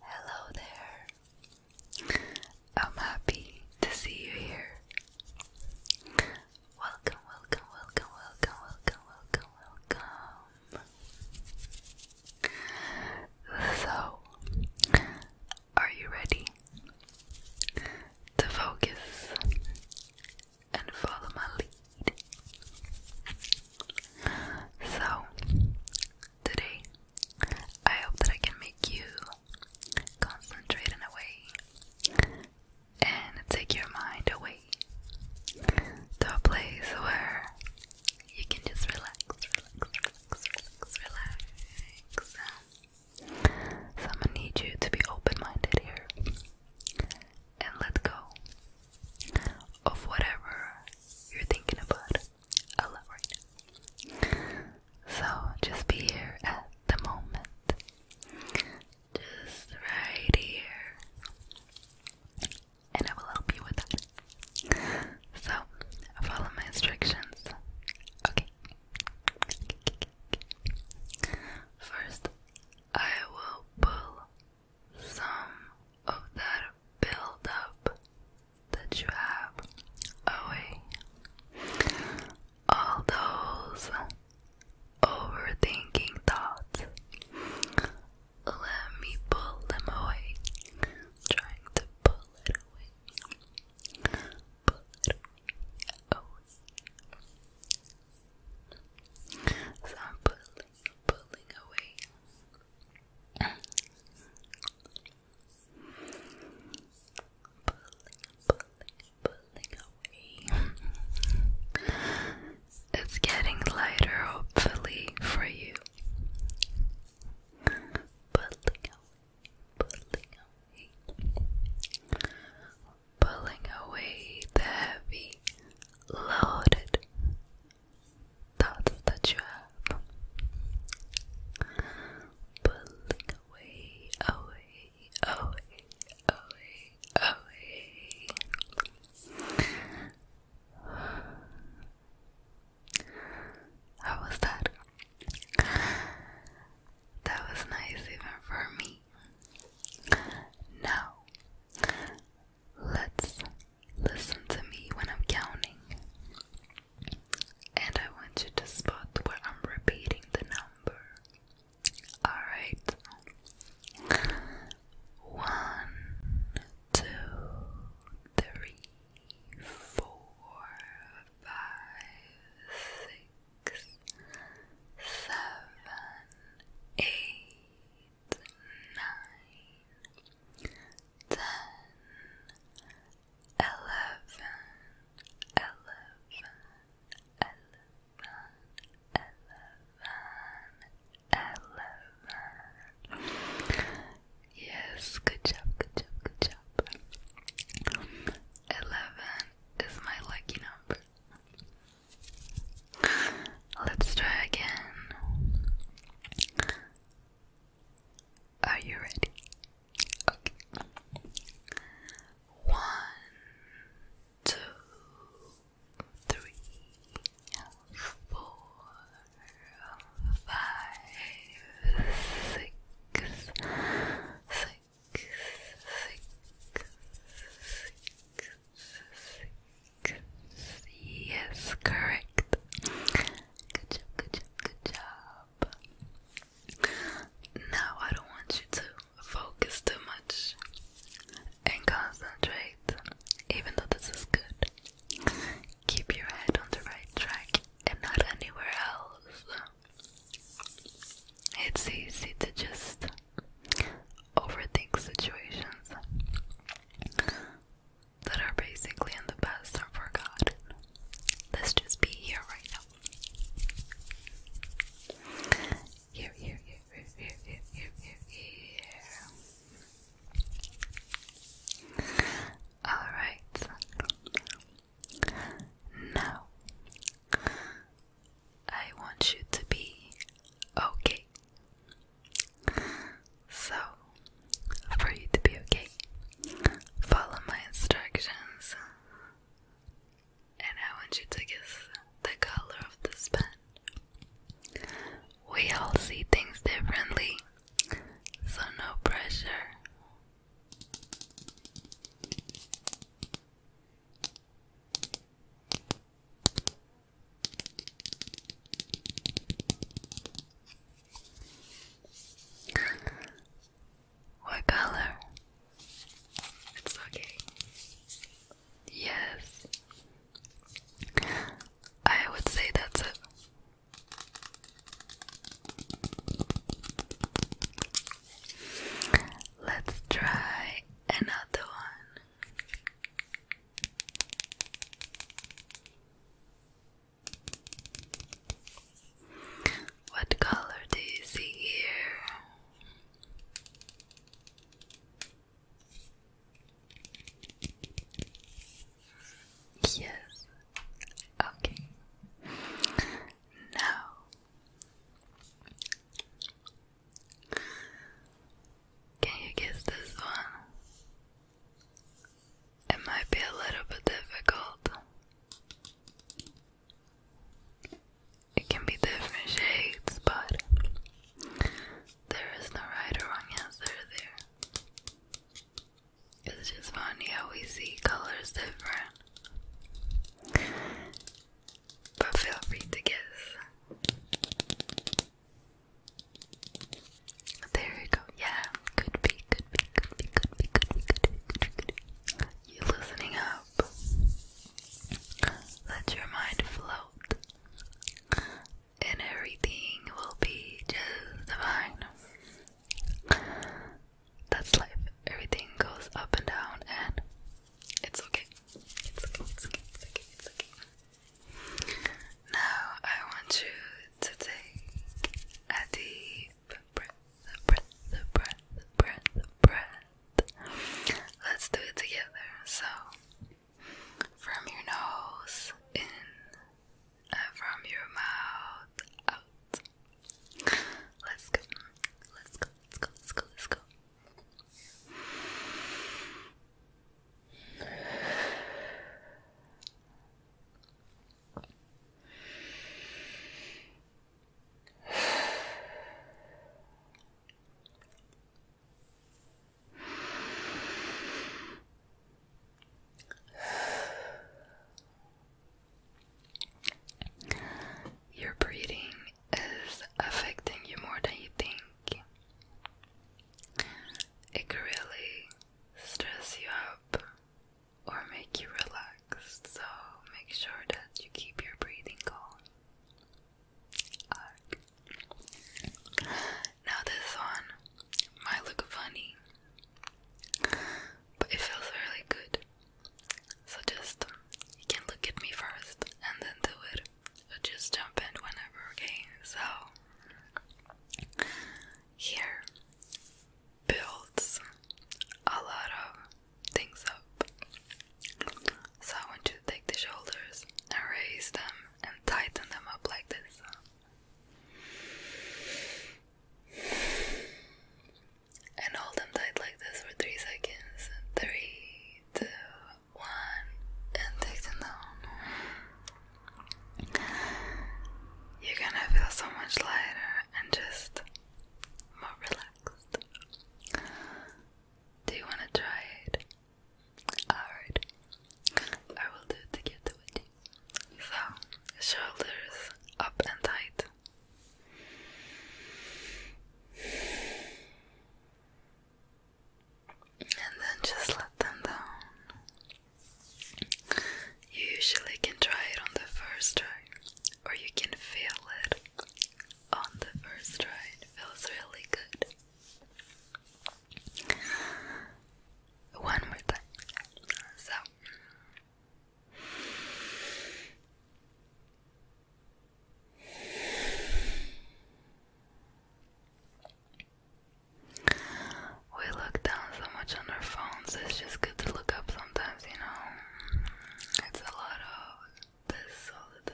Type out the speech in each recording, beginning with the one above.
Hello there. I'm happy to see you here. Welcome, welcome, welcome, welcome, welcome, welcome, welcome. So, are you ready to focus and follow my lead. So, today, I hope that I can make you concentrate in a way and take your mind away to a place where you can just relax, relax, relax, relax, relax. So I'm gonna need you to be open-minded here and let go of whatever you're thinking about a lot right now. So just be here at the moment. Just right here. And I will help you with that. So follow my instructions. Okay. First, I will pull some of that build-up that you have away. All those overthinking thoughts, let me pull them away. trying to pull it away. Pull it so I'm pulling, pulling away. pulling, pulling, pulling away. it's getting lighter, hopefully, for you. Pulling away, pulling away pulling away the heavy, loaded thoughts that you have. Pulling away, away, away, away, away. How was that? That was nice even for me. Now, let's listen to me when I'm counting. And I want you to spot where I'm repeating the number. Alright. One, two, three, four, five, six seven, eight, nine, ten, eleven, eleven, eleven, eleven, eleven. Yes, good job, good job, good job. Eleven is my lucky number. Let's try again. Are you ready? Okay. One, two, three, four, five, six, six thick, Yes, correct. Good job, good job, good job. Now I don't want you to focus too much and concentrate, even though this is good. Keep your head on the right track and not anywhere else. It's easy to just overthink situations that are basically in the past are forgotten. Let's just be here right now. here, here, here, here, here, here. here. Alright. Now I want you to be okay. So, for you to be okay, follow my instructions, and I want you to guess the color of this pen. We all see things differently, so no pressure. What color? It's okay. Yes. I would say that's it. Let's try another one. What color do you see here? Yes. Okay. Now can you guess this one? It might be a little bit difficult. It can be different shades, but there is no right or wrong answer there. It's just funny how we see colors different but feel free to guess. There you go. Yeah, could be, could be, could be, could be, could be, could be, could be, could be. You loosening up. Let your mind float, and everything will be just divine. That's life. Everything goes up and down, and it's okay. It's okay. It's okay. It's okay. It's okay. Now I want you to take a deep breath, breath, breath, breath, breath. Let's do it together. So, from your nose in, and uh, from your mouth out. Let's go. Let's go. Let's go. Let's go. Let's go. You're breathing is affecting you more than you think. It can really stress you up or make you relaxed, so make sure that you keep your breathing calm. Now, this one might look funny, but it feels really good. So, just you can look at me first and then do it just jump in whenever, okay? So, here builds a lot of things up. So, I want you to take the shoulders and raise them and tighten them up like this. And hold them tight like this for three seconds. Three, two, one and take them down. You're gonna feel so much lighter and just more relaxed. Do you wanna try it? Alright, I will do it together with you. So, shoulders up and tight and then just let them down. You usually can try it on the first try, or you can feel it on the first try. It feels really good. One more time. So. We look down so much on our phones, it's just good to look up sometimes, you know. It's a lot of this all the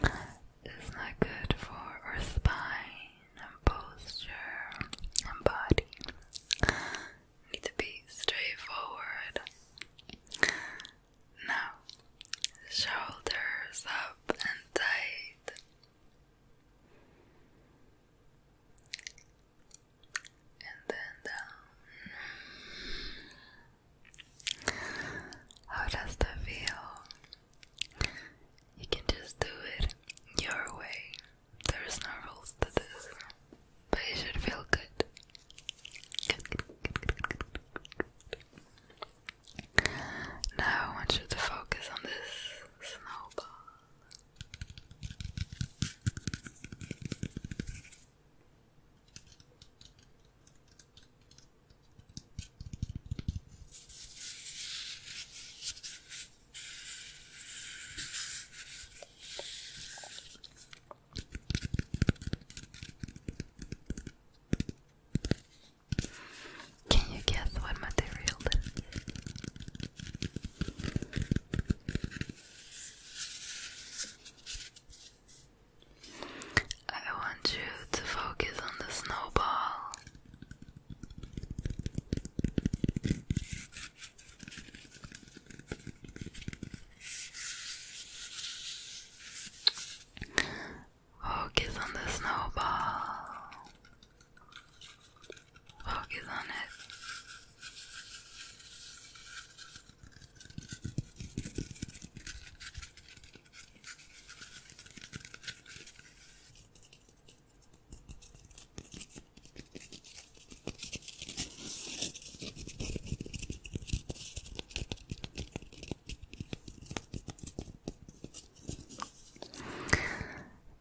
time. It's not good for our spine and posture and body. Need to be straightforward. Now, shoulders up and tight. And then down. How does that feel? You can just do it your way. There's no rules to this, but it should feel good. Now I want you to focus on this snowball. Can you guess what material this I want you to focus on the snowball. Focus on the snowball. Focus on it.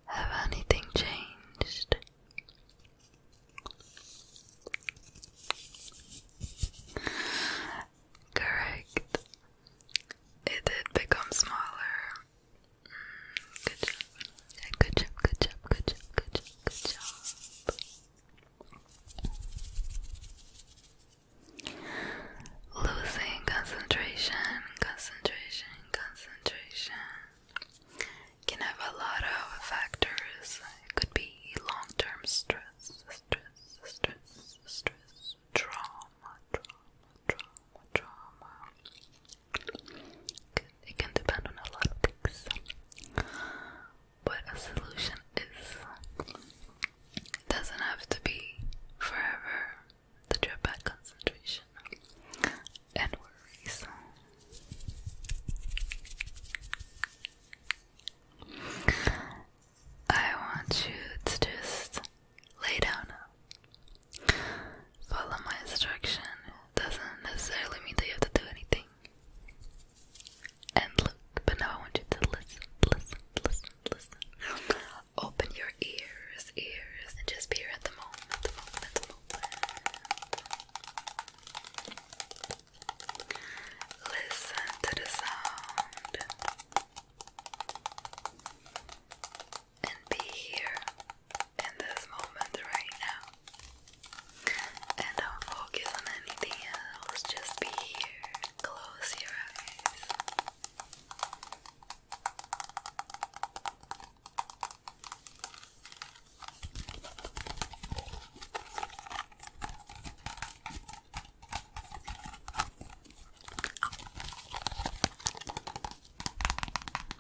Have anything changed? Correct. It did become smaller. Mm, good job. Good job. Good job. Good job. Good job. Losing concentration, concentration, concentration can have a lot of factors. It could be long term stress, stress, stress, stress, trauma, trauma, trauma, trauma. It can depend on a lot of things. But a solution is it doesn't have to be forever the trip back concentration and worries. I want you to just lay down Follow my instruction. Doesn't necessarily mean that you have to do anything. And look, but now I want you to listen, listen, listen listen. Open your ears, ears, and just be here at the moment, the moment, the moment. Listen to the sound. And be here in this moment right now. And don't focus on anything else, just be here. Close your eyes.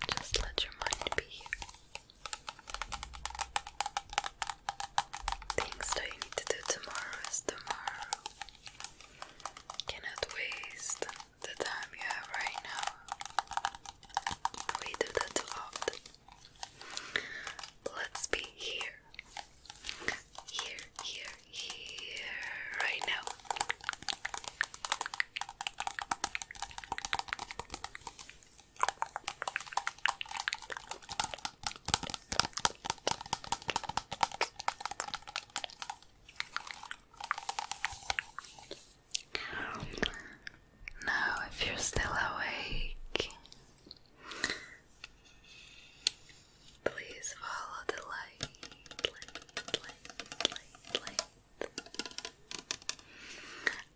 Just let your mind be Things that you need to do tomorrow is tomorrow. Cannot waste the time you have right now. We do that a lot. Let's be here. Here, here, here, right now. Now, if you're still awake, please follow the light,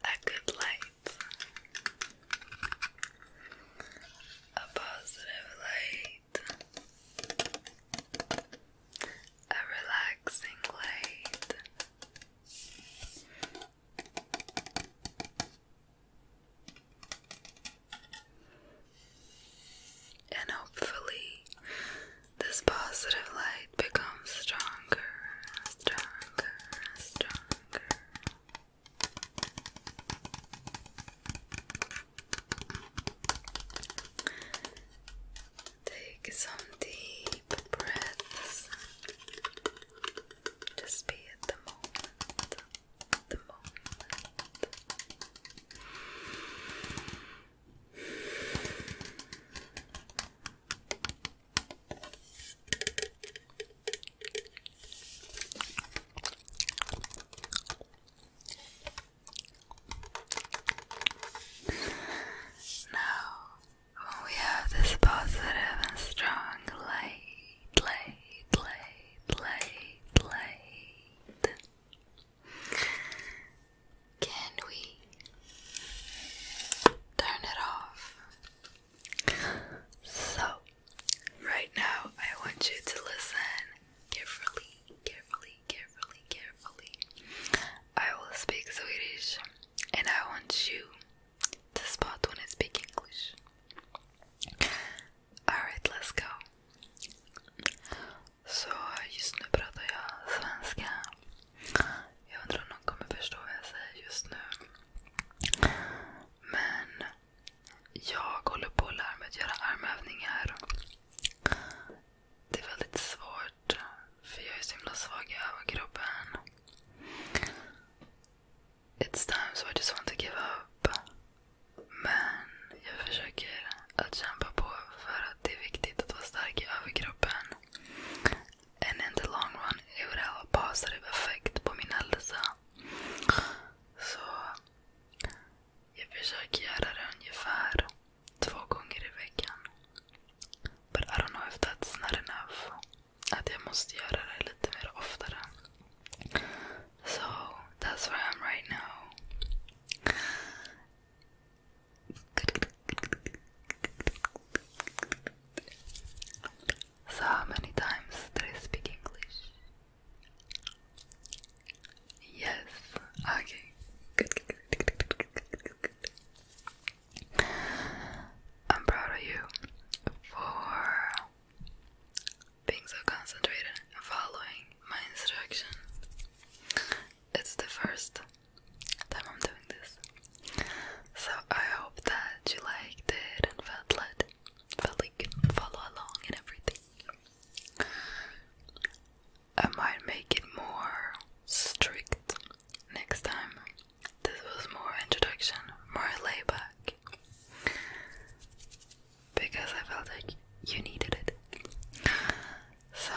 A good light, a positive light a relaxing light. And hopefully, this positive light becomes stronger, stronger, stronger. Take some deep breaths. Just be at the moment. The moment. Now, when we have this positive and strong light, light, light, light, light, can we turn it off? So, right now, I want you to listen carefully carefully, carefully, carefully. I will speak Swedish and I want you to spot when I speak English. Alright, let's go. Så just nu pratar jag svenska. Jag undrar om någon kommer förstå vad jag säger just nu. Jag håller på att lära mig att göra armövningar. Det är väldigt svårt för jag är så himla svag i överkroppen. It's times where I just want to give up. Men jag försöker att kämpa på för att det är viktigt att vara stark i överkroppen. And in the long run it would have a positive effect på min hälsa. Så jag försöker göra det ungefär två gånger i veckan. But I don't know if that's not enough. Att jag måste göra det lite mer oftare. So that's where I'm right now. So how many times did I speak English? Yes. Okay. Good, good, good, good, good, good, good, I'm proud of you for being so concentrated and following my instruction. It's the first time I'm doing this. So I hope that you liked it and felt led felt like follow along and everything. I might make it more strict next time. This was more introduction, more layback. Because I felt like you needed it. So,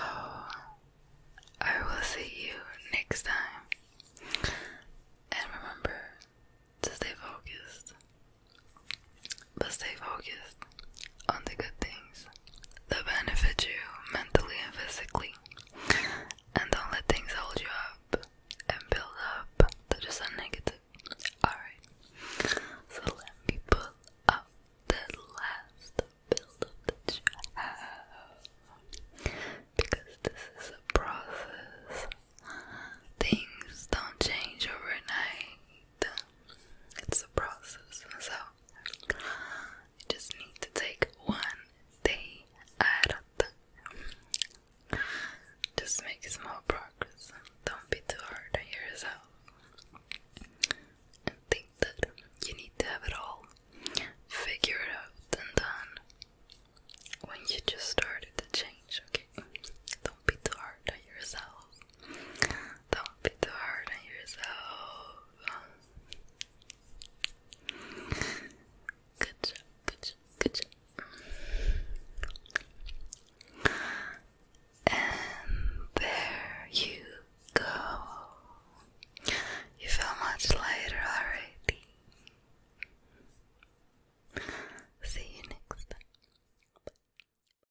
I will see you next time. And remember to stay focused but stay focused on the good things that benefit you mentally and physically. And don't let things hold you up and build up that just are negative. Alright. So let me pull up the last build up that you have. Because this is a process. Things don't change overnight. It's a process, so just need to take one day at a time. Just make small progress. Don't be too hard on yourself. And think that you need to have it all figured out and then when you just started to change, okay? Don't be too hard on yourself. Don't be too hard on yourself. Good job, good job, good job. And there you go. You feel much lighter already. See you next